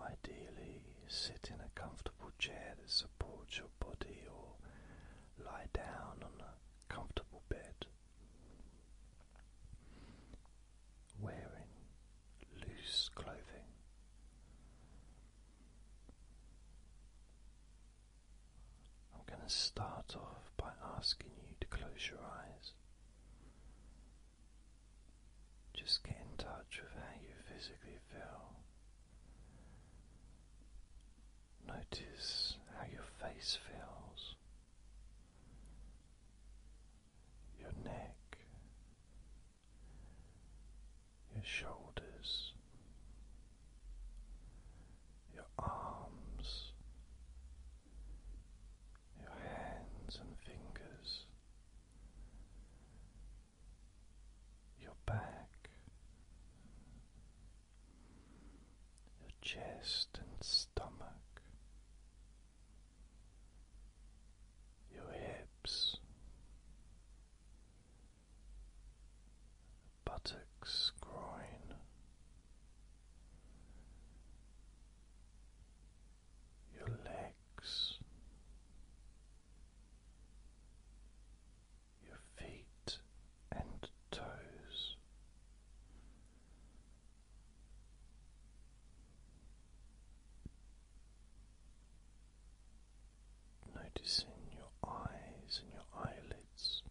Ideally, sit in a comfortable chair that supports your body or lie down on a comfortable bed. Wearing loose clothing. I'm going to start off by asking you to close your eyes. Just get in touch with how you physically feel. Notice how your face feels, your neck, your shoulders, your arms, your hands and fingers, your back, your chest and stomach, your hips, buttocks, groin your legs, your feet and toes. Noticing your eyes and your eyelids,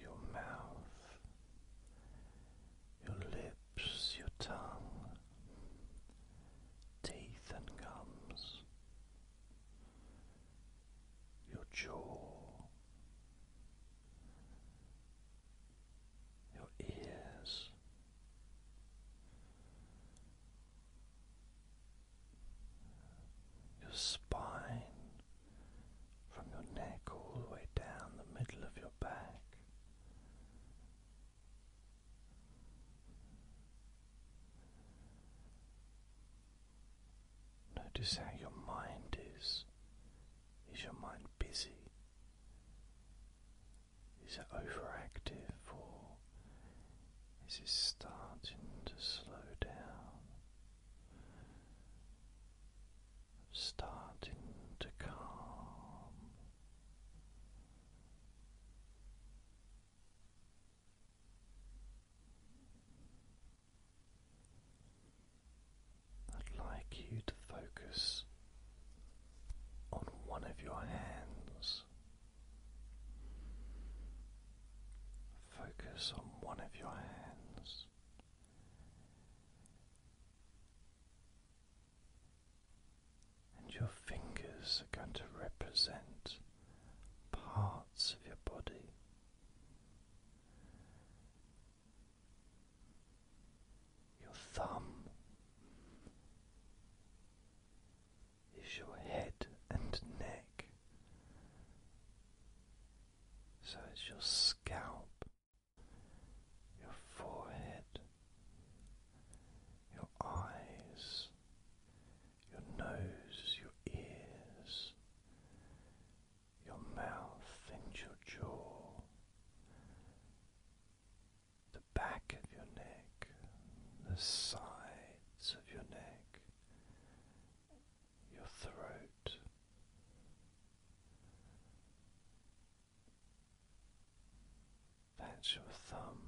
your mouth, your lips, your tongue, teeth and gums, your jaw, your ears your spine, from your neck all the way down the middle of your back. Notice how your mind is. Is your mind busy? Is it overactive or is it starting to slow down? starting to calm. I'd like you to focus on one of your hands. Focus on one of your hands. And your fingers are going to represent parts of your body. Your thumb is your head and neck, so it's your scalp, your forehead, your eyes, your nose, your ears, your mouth, and your jaw, the back of your neck, the sides of your neck, your throat. That's your thumb.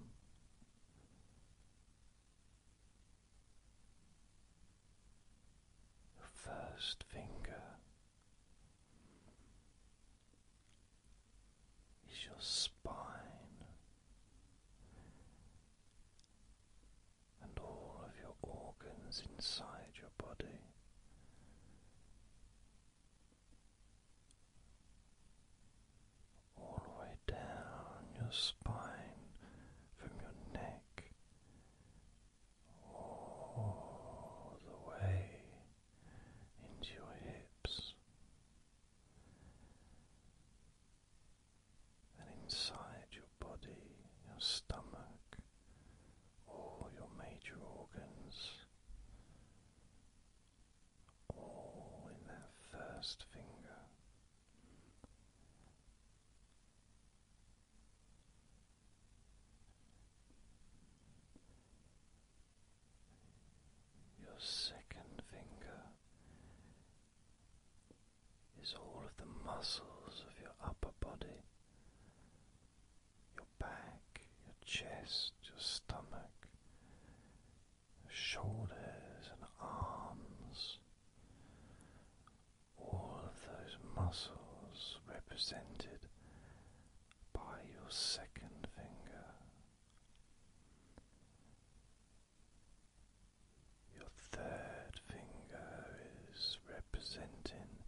Your first finger is your spine, and all of your organs inside your body. All the way down your spine from your neck, all the way into your hips, and inside your body, your stomach, all your major organs, all in that first finger. Your second finger is all of the muscles of your upper body, your back, your chest, your stomach, your shoulders and arms. All of those muscles represented by your second finger. Your third finger is representing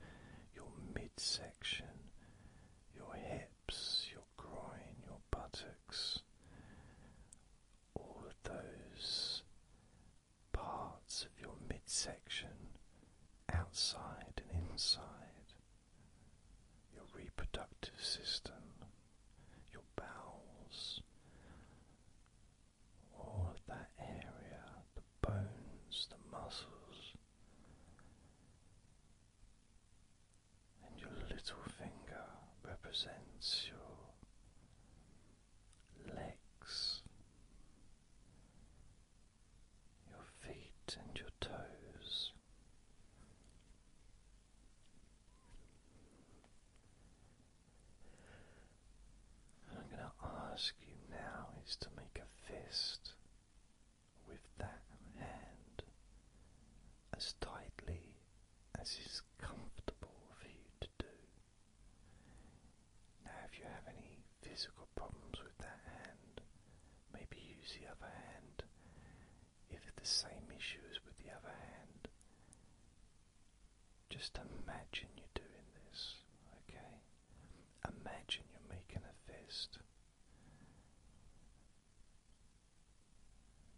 your midsection, your hips, your groin, your buttocks, all of those parts of your midsection outside and inside, your reproductive system, your bowels, all that area, the bones, the muscles, and your little finger represents your legs, your feet, and your toes. And I'm going to ask you now is to make a fist with that hand as tightly as is comfortable for you to do. Now, if you have any physical problems with that hand, maybe use the other hand. If the same issues with the other hand, just imagine you're doing this, okay? Imagine you're making a fist.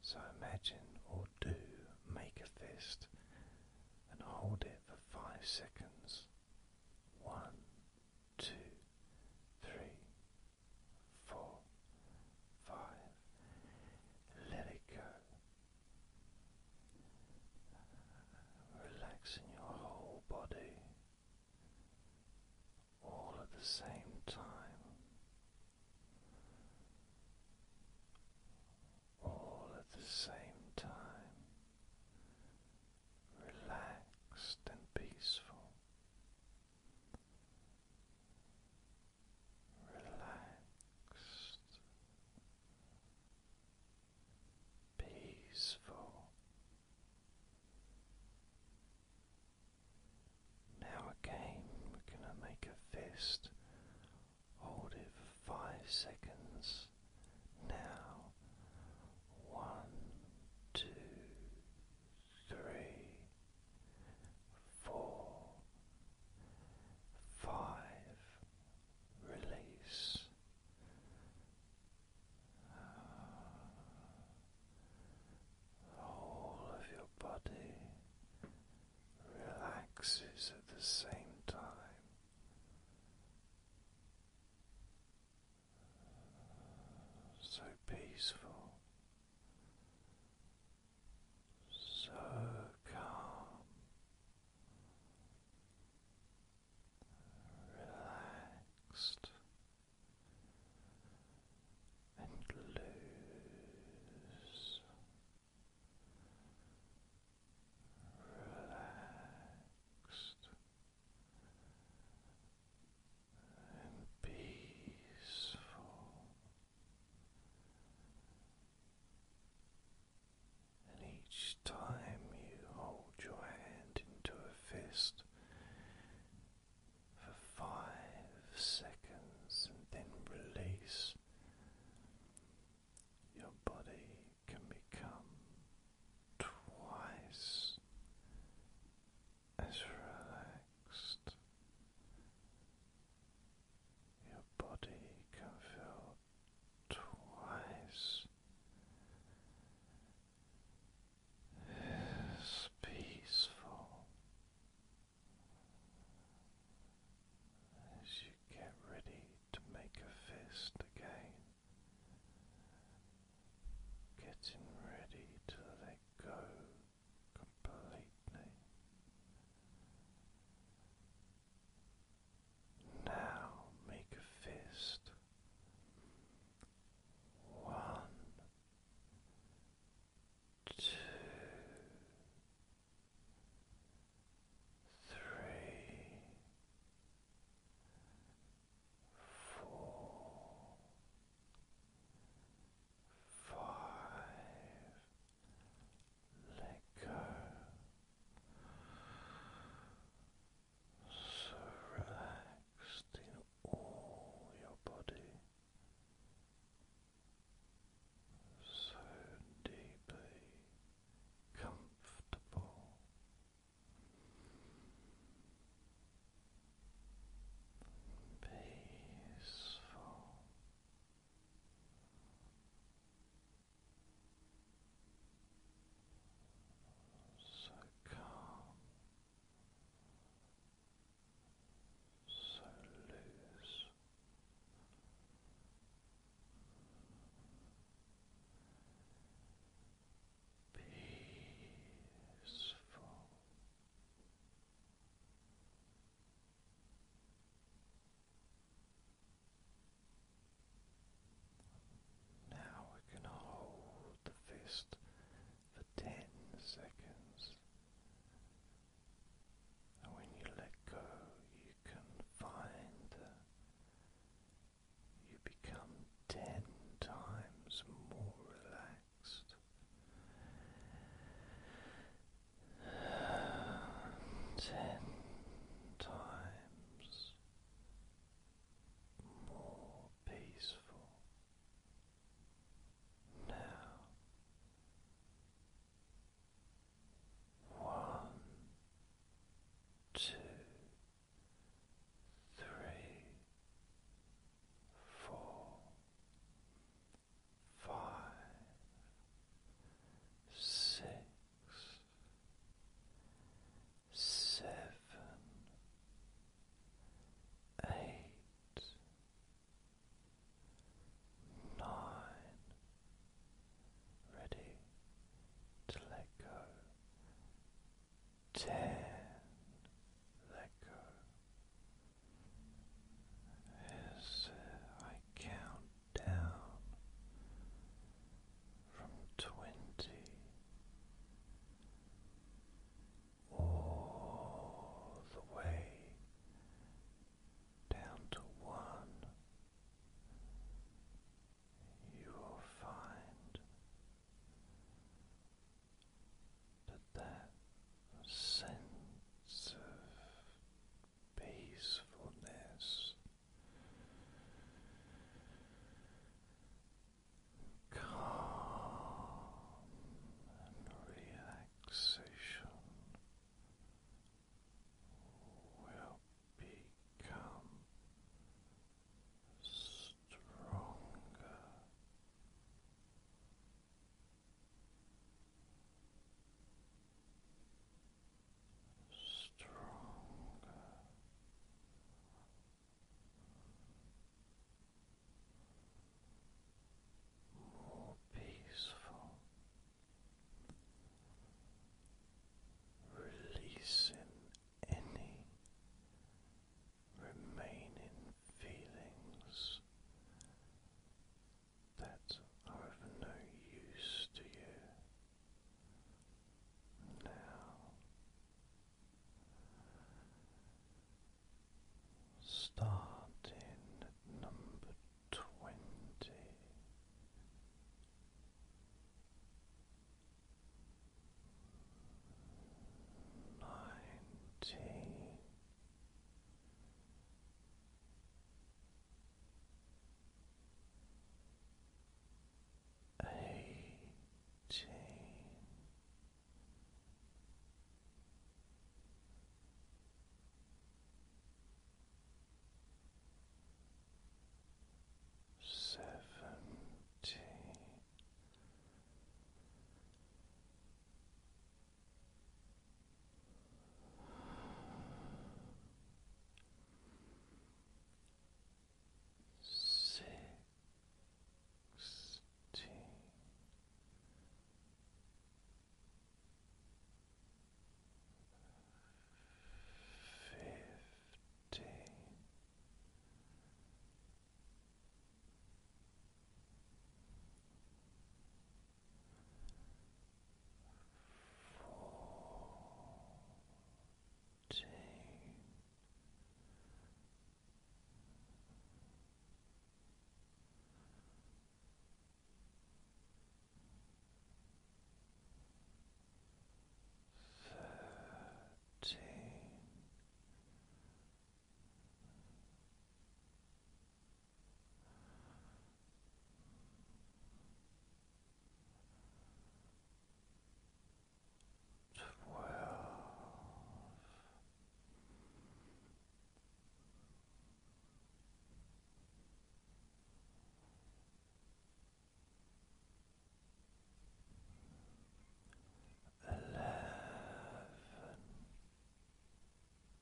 So imagine or do make a fist and hold it for five seconds. One, two, three, four, five. Let it go relaxing your whole body all at the same time. All at the same time, relaxed and peaceful, relaxed, peaceful. Now again, we're going to make a fist, hold it for five seconds. Now, one, two, three, four, five, release. All of your body relaxes at the same time. So peaceful, so calm, relaxed, and loose, relaxed. And peaceful, and each time you hold your hand into a fist for five seconds and then release, your body can become twice as relaxed your body can feel twice as peaceful as you get ready to make a fist again, getting ready to let go completely. Now make a fist. One, two, three, four, five let go. So relaxed in all your body, so deeply comfortable. Peaceful, so calm, so loose, peaceful. Now we can hold the fist for ten seconds. And when you let go, you can find uh, you become ten times more relaxed ten times more peaceful now. One, two, three, four, five, six, seven, eight, nine. Ready to let go. Ten, let go. As I count down from twenty all the way down to one. You will find that that sense of peacefulness calm and relaxation will become stronger stronger. More peaceful, releasing any remaining feelings that are of no use to you now. Starting at number twenty. Eighteen. Seventeen sixteen. Fifteen fourteen. Thirteen, twelve. Eleven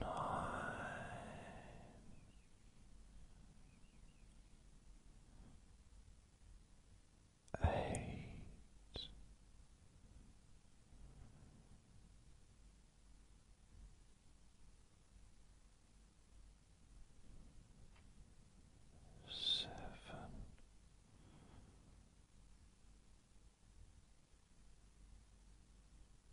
nine, eight, seven